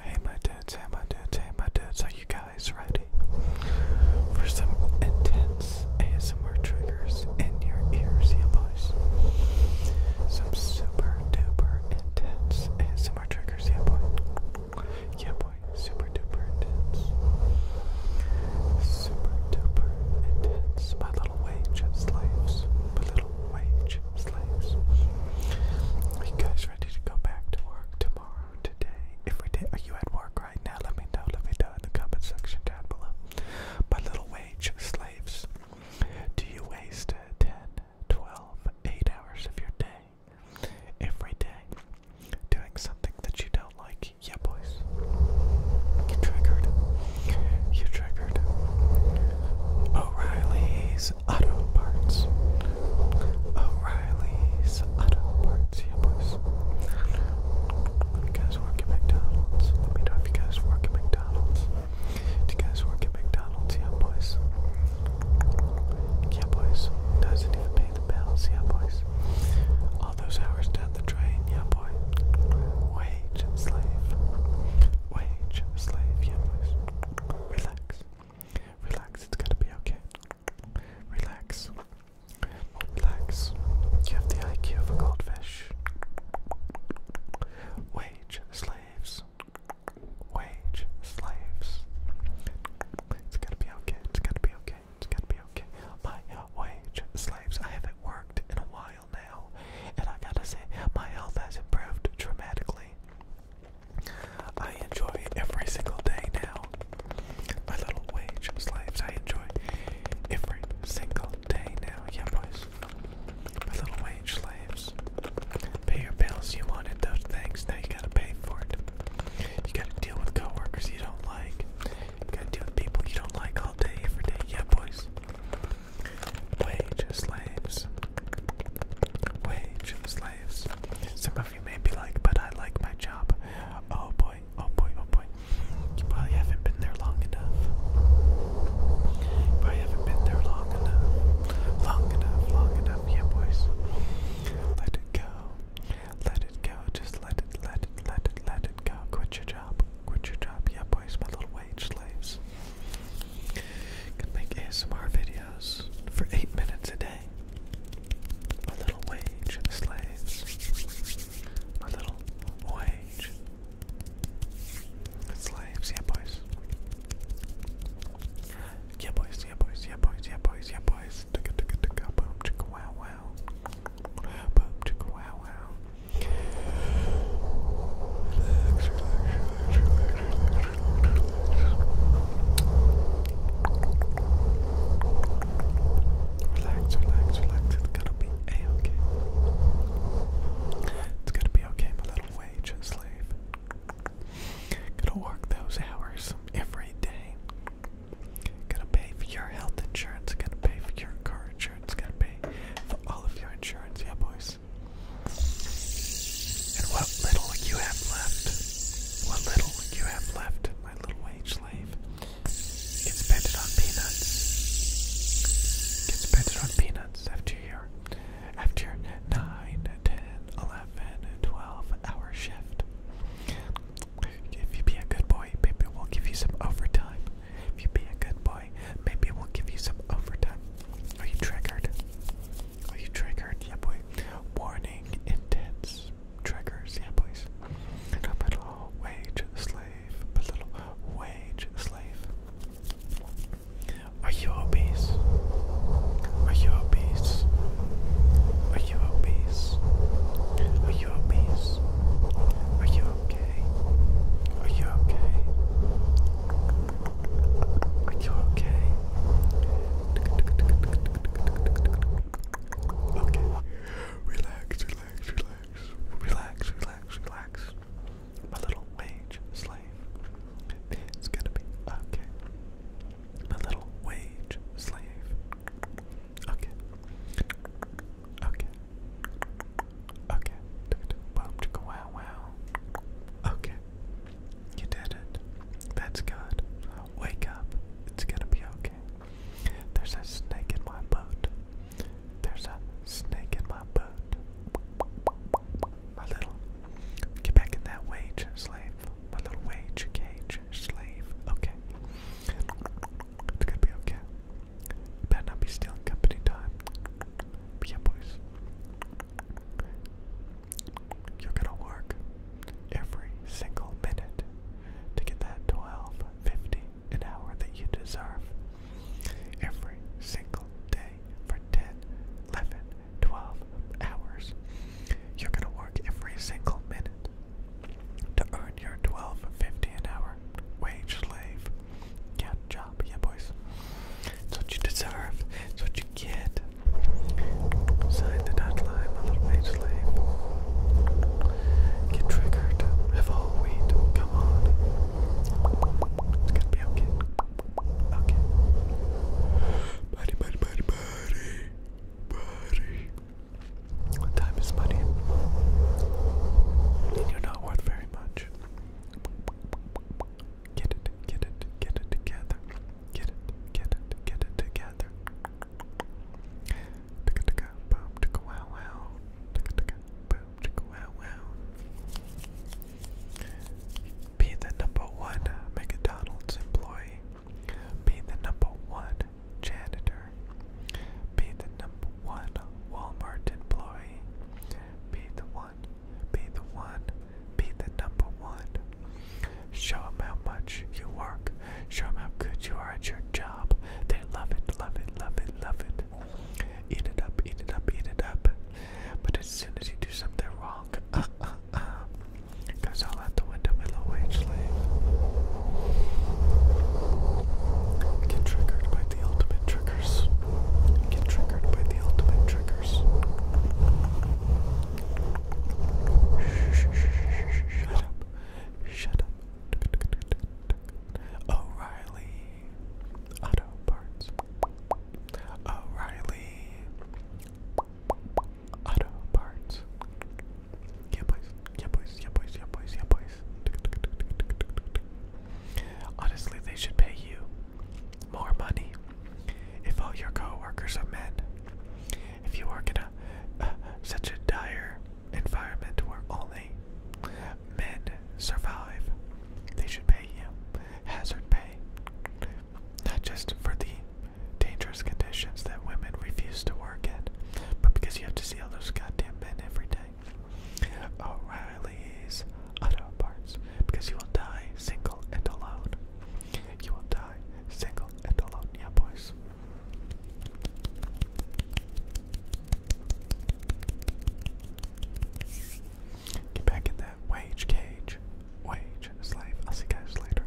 Hey my dudes, hey my dudes, hey my dudes, are you guys ready for some intense ASMR triggers in your ears, yeah boys? Some super duper intense ASMR triggers, yeah boy? Yeah boy, super duper intense. Super duper intense, my little way just lives, my little minimum wage slaves. Are you guys ready to go back to work tomorrow, today? If are you at work right now? Let me know. Let me know in the comment section down below. My little wage slaves, do you waste 10, 12, 8 hours of your day every day doing something that you don't like? Yeah, boys. You triggered. You triggered. O'Reilly's O'Reilly's Auto Parts. O'Reilly's Auto Parts, yeah, boys. You guys work at McDonald's? Let you guys work at McDonald's. you guys work at McDonald's? Yeah, boys. Yeah, boys. Doesn't even pay the bills. Yeah, boys. All those hours down the drain. Yeah, boy. Wage and slave. Wage and slave. Yeah, boys. Relax. Relax. It's gonna be okay. Relax. Relax. You have the IQ of a goldfish. Wage slaves. Wage slaves. It's gonna be okay. It's gonna be okay. It's gonna be okay. My wage slaves. I haven't worked in a while while now, and I gotta say, my health has improved dramatically. I enjoy every single day now. My little wage slaves, I enjoy every single day now. Yeah, boys. My little wage slaves. Pay your bills, you wanted those things, now you gotta pay for it. You gotta deal with coworkers you don't like. You gotta deal with people you don't like all day, every day. Yeah, boys wage slaves, wage slaves. Some of you may be like, but I like my job. Oh boy, oh boy, oh boy. You probably haven't been there long enough. You probably haven't been there long enough. Long enough, long enough, yeah boys. Let it go. Let it go. Just let it, let it, let it, let it go. Quit your job. Quit your job. Yeah boys, my little wage slaves. Can make ASMR videos for eight minutes a day. My little wage for slaves. My little wage. Slaves, yeah boys. Yeah boys, yeah boys, yeah boys, yeah boys, yeah boys. Boom chicka wow wow. Boom chicka wow wow. Relax, relax, relax. It's gonna be a okay. It's gonna be okay, my little wage slave. Gonna work those hours every day. Gonna pay for your health insurance. Gonna pay for your car insurance. Gonna pay for all of your insurance. Yeah, boys. And what little you have left, what little you have left, my little wage slave, gets spent on peanuts. Gets spent on peanuts after your, after your 9, 10, 12 hour shift. If you be a good boy, baby, we'll give you some overtime. If you be a good boy, maybe we'll give you some overtime. Are you triggered? Are you triggered? Yeah, boy. Warning, intense triggers. Yeah, boys. A little wage slave. A little wage slave. Are you obese? Are you obese? Are you obese? Are you obese? Are you okay? Are you okay? Are you okay? Okay. Relax, relax, relax, relax, relax, relax. My little wage slave. It's gonna be okay. My little wage slave. Okay. Okay. Okay. Boom wow wow. Okay. You did it. That's good. Wake up. It's gonna be okay. There's a snake in my boat. There's a snake in my boat. My little get back in that wage slave. My little wage cage slave. Okay. It's gonna be okay better not be stealing company time. yeah, boys. You're gonna work every single minute to get that 12 an hour that you deserve. Every single day for 10, hours. You're gonna work every single minute to earn your 12 an hour wage slave. Yeah, job. Yeah, boys. It's what you deserve. It's what you get. Sign the dot line, little mage slave. Get triggered. Have all Come on. It's gonna be okay. Okay. Buddy, buddy, buddy, buddy. Buddy. Time is money. you're not worth very very much. Get it, get it, get it together. Get it, get it, get it together. Ticka ticka, boom, ticka wow wow. Ticka ticka, boom, ticka wow wow. Be the number one McDonald's employee. Be the number one janitor be the number one Walmart employee, be the one, be the one, be the number one. Show how much you work, show how good you are at your job. They love it, love it, love it, love it. Eat it up, eat it up, eat it up. But as soon as you do something wrong, uh, uh, uh, goes out the window middle wage slave. Get triggered by the ultimate triggers. Get triggered by the ultimate triggers. Shut up. Shut up. O'Reilly Auto Parts. O'Reilly Auto Parts. Yeah, boys. Yeah, boys. Yeah, boys. Yeah, boys. Yeah, boys. Honestly, they should pay you more money if all your coworkers are men. If you work in a uh, such a dire environment where only men survive, they should pay you hazard pay, not just for the dangerous conditions that women refuse to work in, but because you have to see all those goddamn men every day. O'Reilly's Auto Parts, because you will die single and alone. You will die single and alone, yeah, boys. Get back in that wage cage. Wage slave. I'll see you guys later.